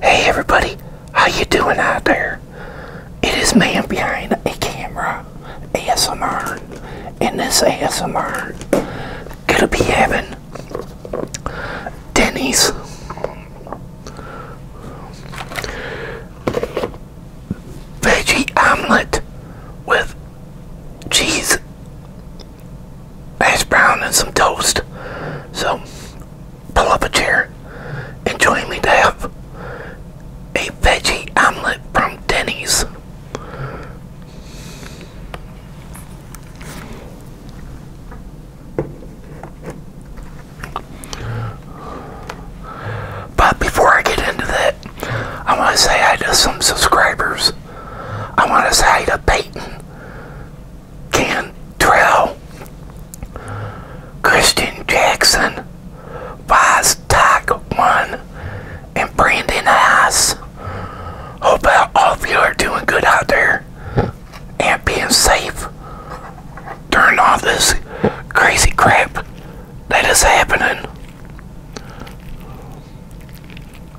Hey everybody, how you doing out there? It is man behind a camera, ASMR, and this ASMR gonna be having Denny's veggie omelet with cheese hash brown and some toast. So pull up a chair and join me to have a veggie omelet from Denny's. But before I get into that, I want to say hi to some subscribers. I want to say hi to Peyton Cantrell, Christian Jackson, Boz Tag One, and Brandon Haas. Hope that all of you are doing good out there and being safe during all this crazy crap that is happening.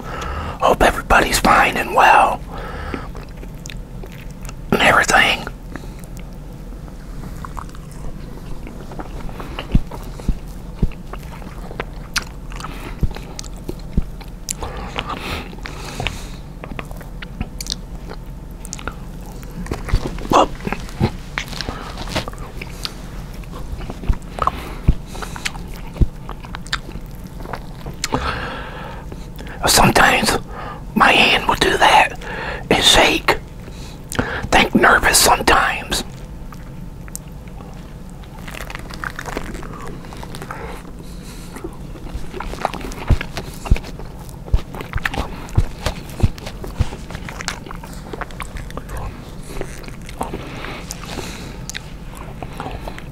Hope everybody's fine and well and everything. Sometimes my hand will do that and shake. Think nervous sometimes.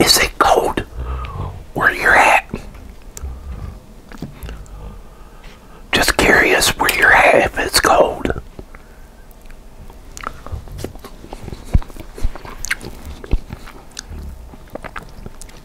Is it cold where you're at? Just curious where you're at if it's cold.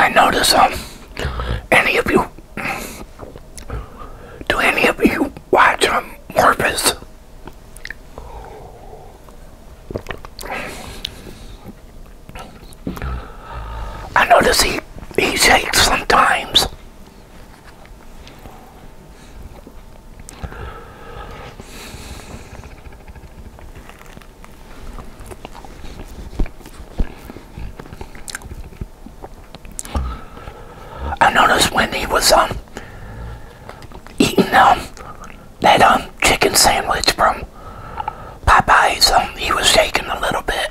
I notice um any of you do any of you watch um Morpheus? I notice he he shakes sometimes. I noticed when he was um eating um that um chicken sandwich from Popeyes, um he was shaking a little bit.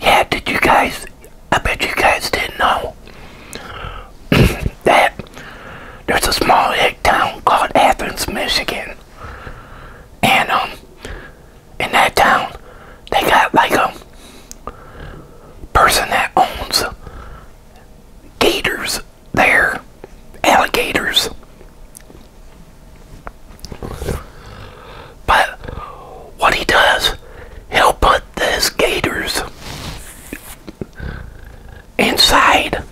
yeah, did you guys? I bet you guys didn't know that there's a small town called Athens, Michigan. And, um, in that town, they got like a um, person that owns gators there. Alligators. But what he does, he'll put these gators inside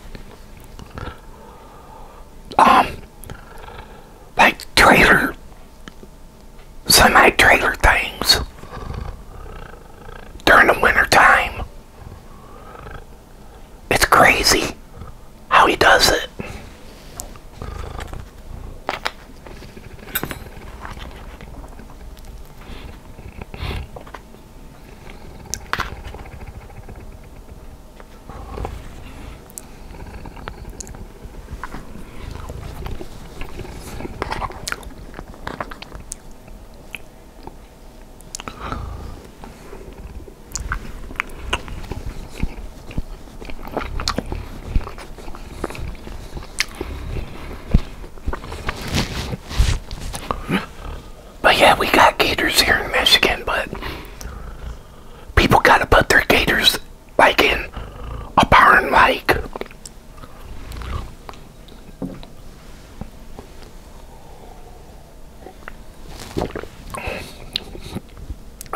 um like trailer semi trailer things during the winter time it's crazy how he does it. But yeah, we got gators here in Michigan, but people gotta put their gators like in a barn like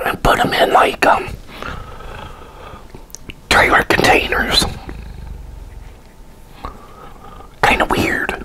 and put them in like um, trailer containers. Kind of weird.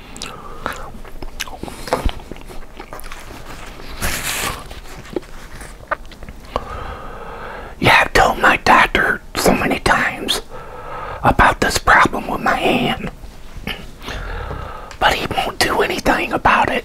I've told my doctor so many times about this problem with my hand, but he won't do anything about it.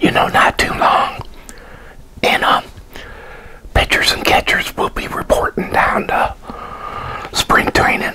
You know, not too long. And, um, pitchers and catchers will be reporting down to spring training.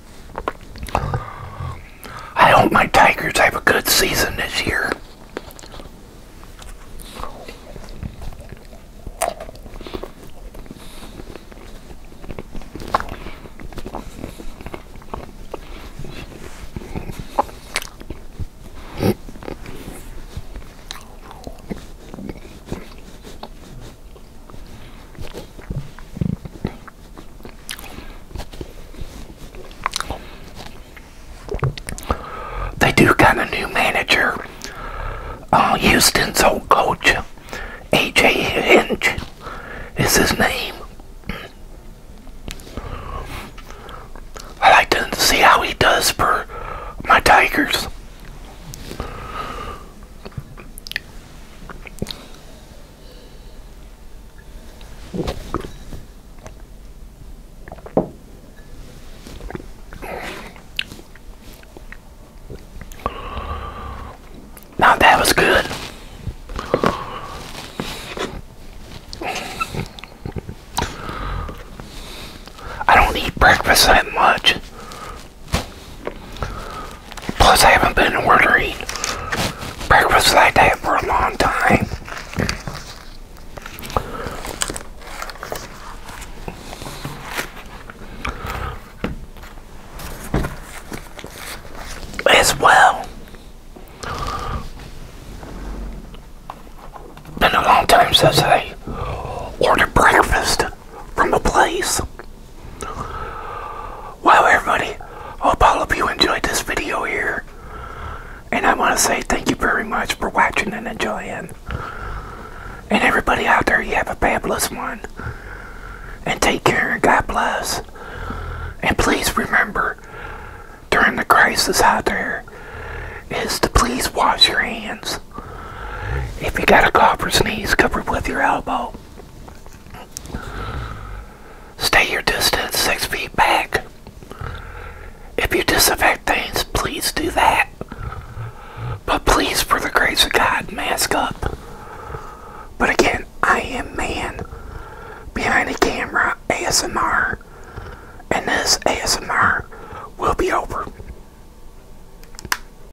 I hope my Tigers have a good season this year. They do got a new manager. Uh, Houston's old coach, AJ Hinch, is his name. I like to see how he does for my Tigers that was good. I don't eat breakfast that much. Plus, I haven't been ordering breakfast like that for a long time. As well. Been a long time since I ordered breakfast from a place. Wow, everybody, hope all of you enjoyed this video here. And I want to say thank you very much for watching and enjoying. And everybody out there, you have a fabulous one. And take care and God bless. And please remember, during the crisis out there, is to please wash your hands. If you got a cough or sneeze, cover it with your elbow. Stay your distance six feet back. If you disinfect things, please do that. But please, for the grace of God, mask up. But again, I am man behind the camera ASMR, and this ASMR will be over.